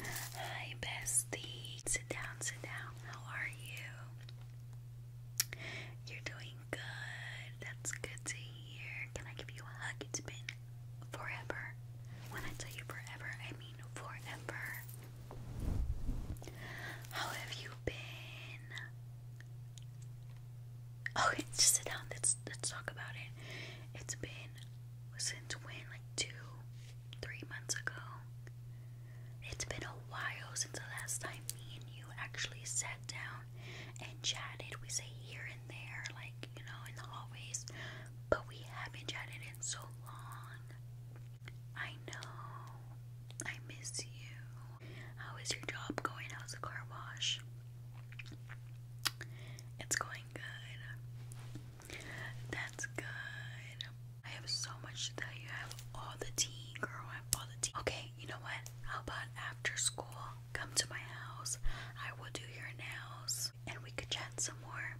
Hi, bestie. Sit down, sit down. How are you? You're doing good. That's good to hear. Can I give you a hug? It's been forever. When I tell you forever, I mean forever. How have you been? Okay, just sit down. Let's let's talk about it. It's been since when? Like two, three months ago. It's been a while since the last time me and you actually sat down and chatted. We say here and there, like you know, in the hallways, but we haven't chatted in so long. I know. I miss you. How is your job going? How's the car wash? It's going good. That's good. I have so much to tell you. I have all the tea, girl. I have all the tea. Okay, you know what? How about after school? Come to my house. I will do your nails and we could chat some more.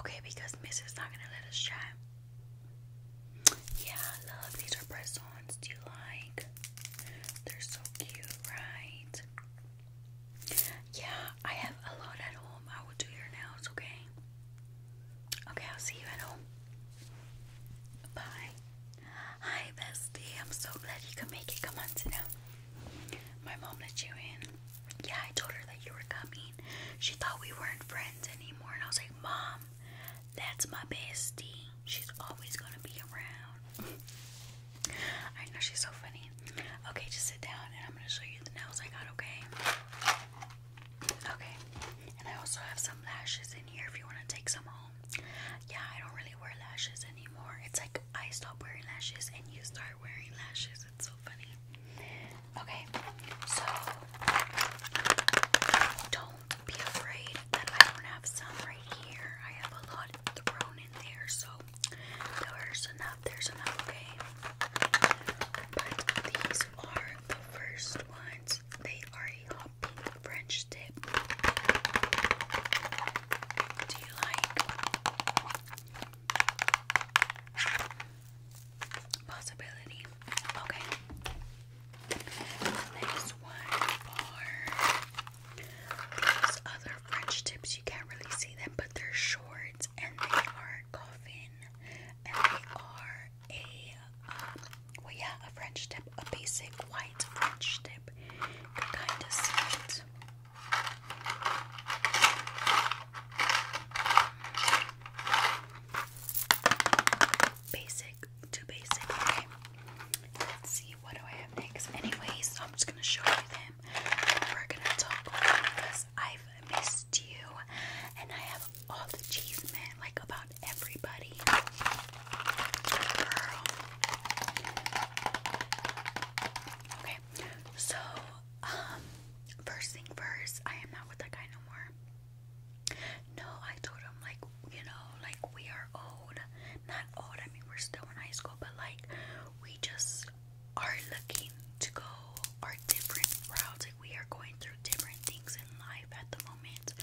Okay, because Miss is not gonna let us chat. Yeah, love, these are press do you like? They're so cute, right? Yeah, I have a lot at home. I will do your nails, okay? Okay, I'll see you at home. Bye. Hi, bestie. I'm so glad you could make it. Come on, to now. My mom let you in. Yeah, I told her that you were coming. She thought we weren't friends anymore, and I was like, Mom, that's my bestie. She's always gonna be around. I know she's so funny. Okay, just sit down and I'm gonna show you the nails I got, okay? Okay. And I also have some lashes in here if you wanna take some home. Yeah, I don't really wear lashes anymore. It's like I stop wearing lashes and you start wearing lashes. It's so funny. Okay, so don't be afraid that I don't have some right here. I have a lot thrown in there, so there's enough. There's enough, okay? But these are the first ones. They are a hot pink French tip. Do you like? Possibility. Okay. Next one are these other French tips. You can't really see them, but they're shorts and they are coffin and they are a um, well, yeah, a French tip, a basic white French tip. can kind of see it. Basic too basic, okay? Let's see, what do I have next? Anyways, so I'm just gonna show you them. We're gonna talk because I've missed you and I have all the cheese, like about everybody. Okay, so, um, first thing first, I am not with that guy no more. No, I told him like you know, like we are old. Not old, I mean we're still in high school, but like we just are looking to go our different routes. Like we are going through different things in life at the moment.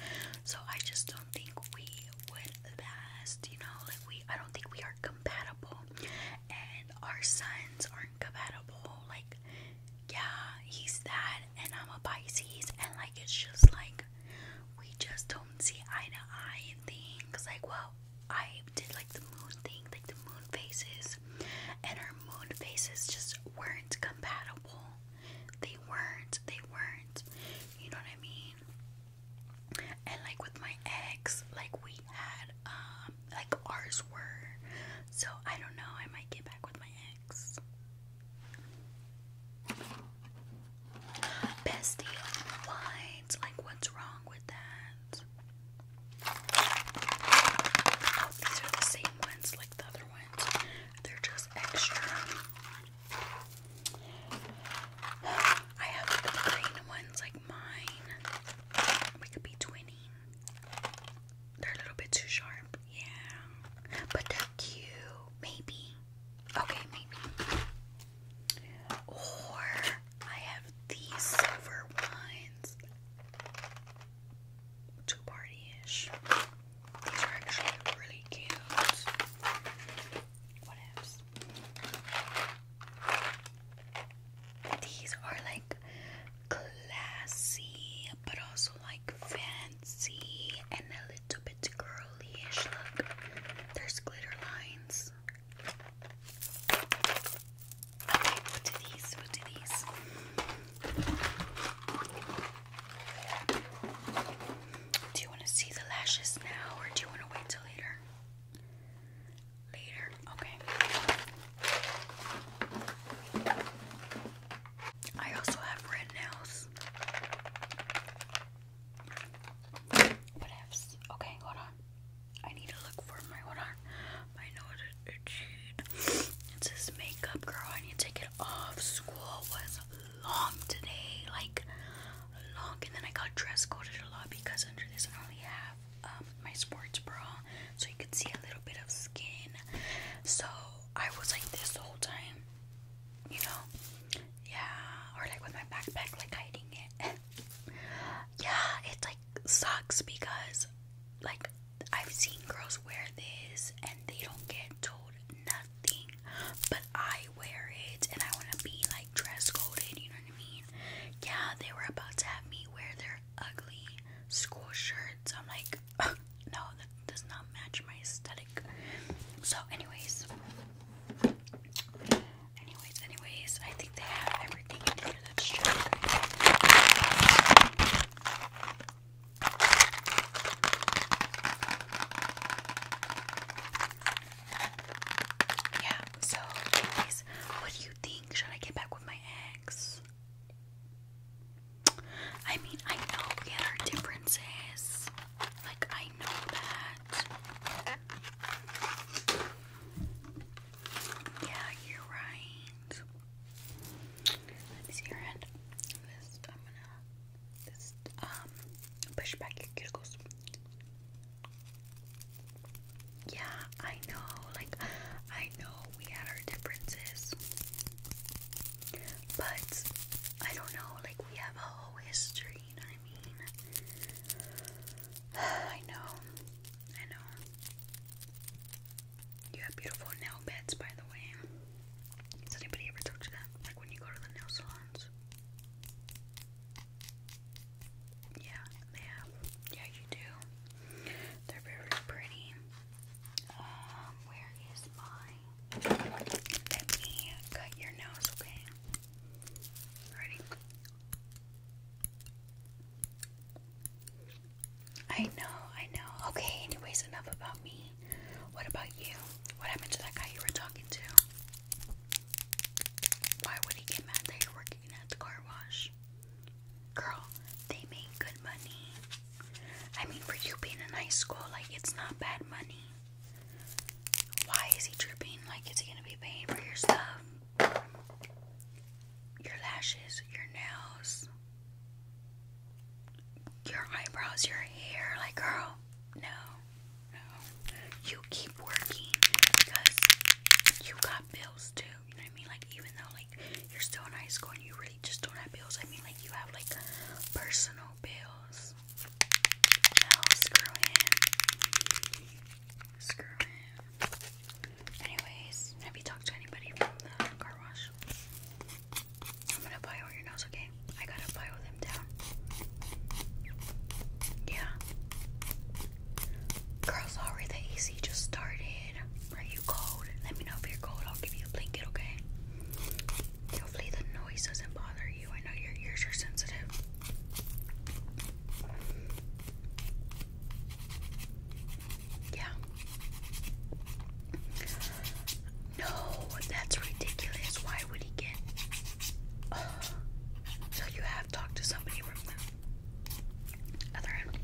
So I just don't think we would last, you know, like we I don't think we are compatible and our sons aren't compatible. Like yeah, he's that and I'm a Pisces and like it's just like we just don't see eye to eye in things. Like, well, I did like the moon thing, like the moon phases, and our moon phases just weren't compatible. They weren't, they weren't. You know what I mean? And like with my ex, like we had, um, like ours were. So I don't know, I might get back with my Thanks. Best Like, what's wrong with that? Oh, these are the same ones like the other ones. They're just extra. I have the green ones like mine. We could be twinning. They're a little bit too sharp. Yeah. But they're cute. Maybe. Okay, maybe. Or I have these silver ones. Too party-ish. These are actually really cute. What else? These are like classy, but also like fancy. See and a little bit girly-ish look. There's glitter lines. Okay, we do these, we do these. Do you want to see the lashes now or do you want to wait till later? Later, okay. I also have red nails. What ifs? Okay, hold on. I need to look for my hold My nose is itchy. It says makeup girl. I need to take it off. School was long today, like long. And then I got dress coded a lot because under this I only have um, my sports bra, so you could see a little bit of skin. So I was like this whole time you know, yeah, or like with my backpack, like hiding it. yeah, it like sucks because like I've seen girls wear this and they don't get told nothing, but I wear it and I want to be like dress coded, you know what I mean? Yeah, they were about to have me wear their ugly school shirts. I'm like, no, that does not match my aesthetic. So, anyways, anyways, anyways, I think they have everything in here Yeah, so, anyways, what do you think? Should I get back with my ex? I mean, I know we had our differences. Like, I know that. Yeah, you're right. Let your hand. This, I'm gonna just um push back your cuticles. Yeah, I know. Like, I know we had our differences, but I don't know, like we have a whole history, you know what I mean? I know, I know. You have beautiful nail beds, by the way. Has anybody ever told you that? Like when you go to the nail salons? Yeah, they have. Yeah, you do. They're very pretty. Um, where is mine? Let me cut your nose, okay? Ready? I know, I know. Okay, anyways, enough about me. What about you? What happened to that guy you were talking to? Why would he get mad that you're working at the car wash? Girl, they make good money. I mean, for you being in high school, like, it's not bad money. Why is he tripping? Like, is he gonna be paying for your stuff? Your lashes, your nails, your eyebrows, your hair. Like, girl, no, no. You keep working because you got bills too. You know what I mean? Like, even though, like, you're still in high school and you really just don't have bills, I mean, like, you have, like, personal no bills. screw him. Screw him. Anyways, have you talked to anybody from the car wash? I'm gonna bio your nose, okay? I gotta bio them down. Yeah. Girl, sorry, the AC just started. Are you cold? Let me know if you're cold. I'll give you a blanket, okay? Hopefully the noise doesn't bother you. I know your ears are sensitive. Yeah. No, that's ridiculous. Why would he get? So you have talked to somebody other end.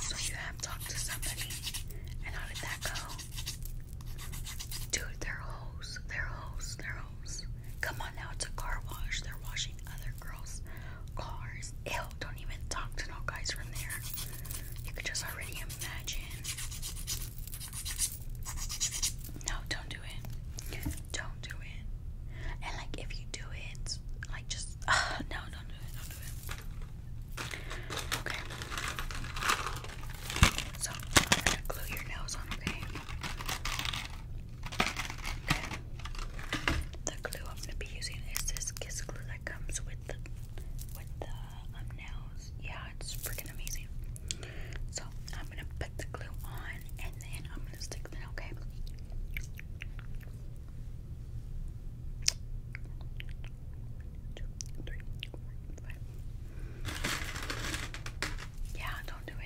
So you have talked to somebody, and how did that go? Dude, they're hoes. They're hoes. They're hoes. Come on now, it's a car wash. They're washing other girls' cars. Ew, don't even talk to no guys from there. You could just already imagine. No, don't do it. Don't do it. And like, if you do it, like, just uh, no, don't do it. Don't do it. Okay. So I'm gonna glue your nails on, okay? Okay. The glue I'm gonna be using is this kiss glue that comes with the with the um, nails. Yeah, it's freaking amazing. So I'm gonna put the glue on and then I'm gonna stick it, okay? two, three, four, five. Yeah, don't do it.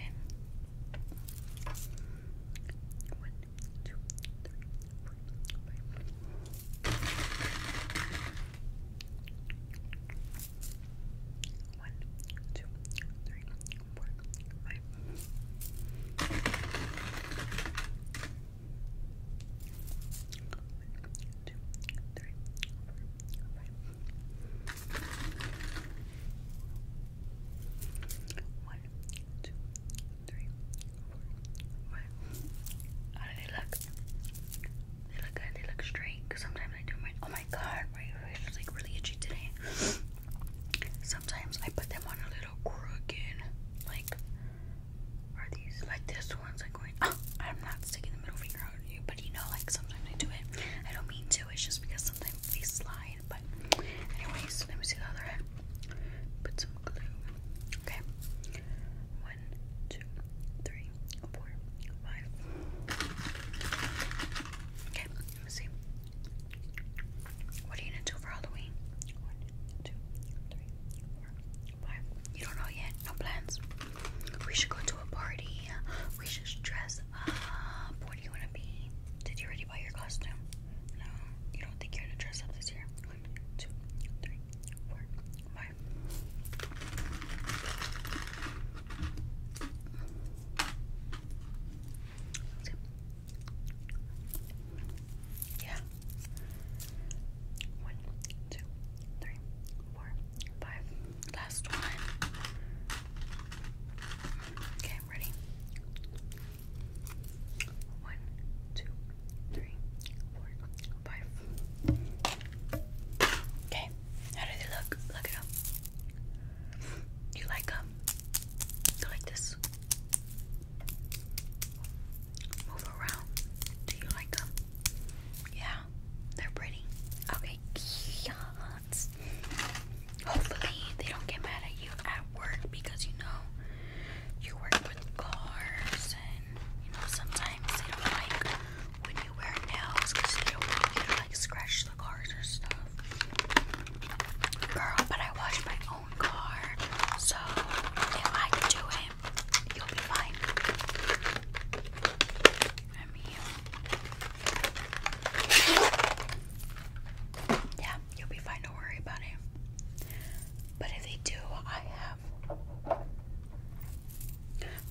One, two, three, four, five. One, two, three, four, five two, three, four, five. One, two, three, four, five. How do they look? They look good, they look straight. sometimes I do my oh my god, my face is like really itchy today. Sometimes I put them on a little crooked, like are these like this one's like going? Oh, I'm not sticking the middle finger out on you, but you know, like sometimes I do it. I don't mean to. It's just because sometimes they slide. But anyways, let me see the other hand. Put some glue. Okay. One, two, three, four, five. Okay. Let me see. What are you gonna do for Halloween? One, two, three, four, you don't know yet. No plans. We should go to a party. We should dress up. What do you want to be? Did you already buy your costume? No. You don't think you're going to dress up this year? One, two, three, four, five. Yeah. One, two, three, four, five. Last one. Okay, I'm ready. One, two, three, four, five. Okay, how do they look? Look it up. you like them? Um, you like this? move around. Do you like them? Yeah, they're pretty. Okay, kids. Hopefully they don't get mad at you at work because you know you work with cars and you know sometimes they don't like when you wear nails because they don't like scratch the cars or stuff. Girl, but I wash my own car, so if I could do it time. You'll be fine. I'm here. Yeah, you'll be fine. Don't worry about it. But if they do, I have.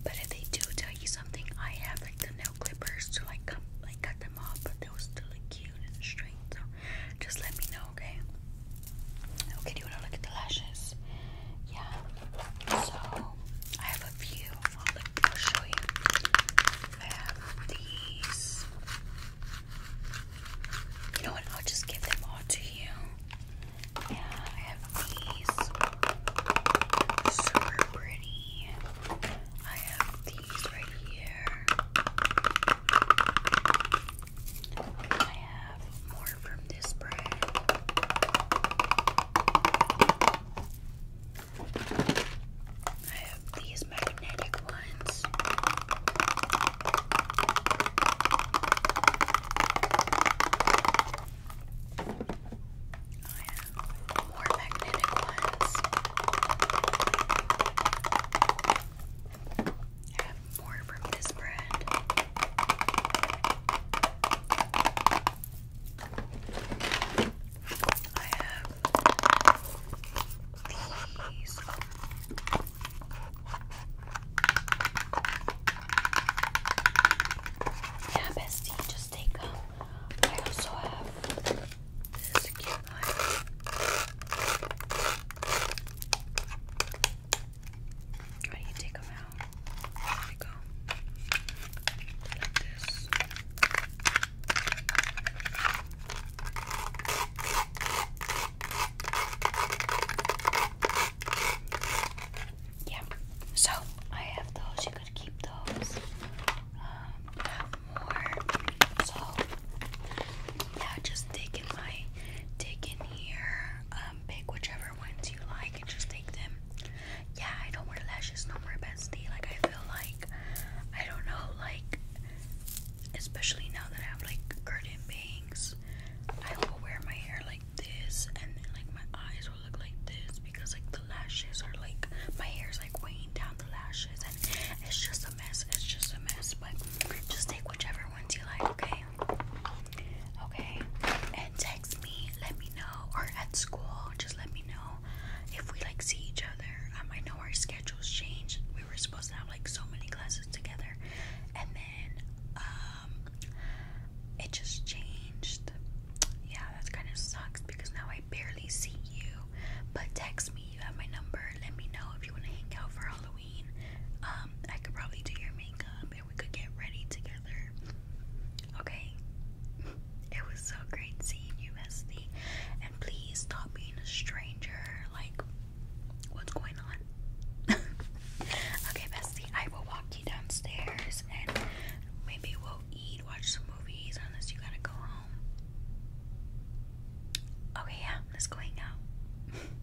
But if they do tell you something, I have like the nail clippers to like like cut them off. But those still look cute and straight. So just let me know okay? Okay, do you want to look at the lashes? Yeah. So, I have a few. I'll show you. I have these. You know what? I'll just give them all to you. Yeah, I have these. Super pretty. I have these right here. I have more from this brand. I have these magnetic ones. I have more magnetic ones more from this brand. I have these. Yeah, bestie, just take them. I also have this cute one. Why do you take them out? Like this. Yeah. So I have those. You could keep those. Um, more. So yeah, just taking my taking here. Um, um, pick whichever ones you like and just take them. Yeah, I don't wear lashes no more, bestie. Like, I feel like, I don't know, like, especially now that I have like curtain bangs, I will wear my hair like this, and then like my eyes will look like this because like the lashes are like my hair's like weighing down the lashes, and it's just a mess. It's just a mess, but just take whichever ones you like, okay? okay? Okay, and text me, let me know, or at school, just let me know if we like see each other. Um, I know our schedules changed. We were supposed to have like so many classes together, and then um, it just changed. Yeah, that kind of sucks because now I barely see you. But text me, you have my number. Let me know if you want to hang out for Halloween. Um, I could probably do your makeup and we could get ready together. Okay? It was so great seeing you, Mesty. And please stop being a stranger. Like, what's going on? okay, Bestie, I will walk you downstairs and maybe we'll eat, watch some movies, unless you gotta go home. Okay, yeah, let's go hang out.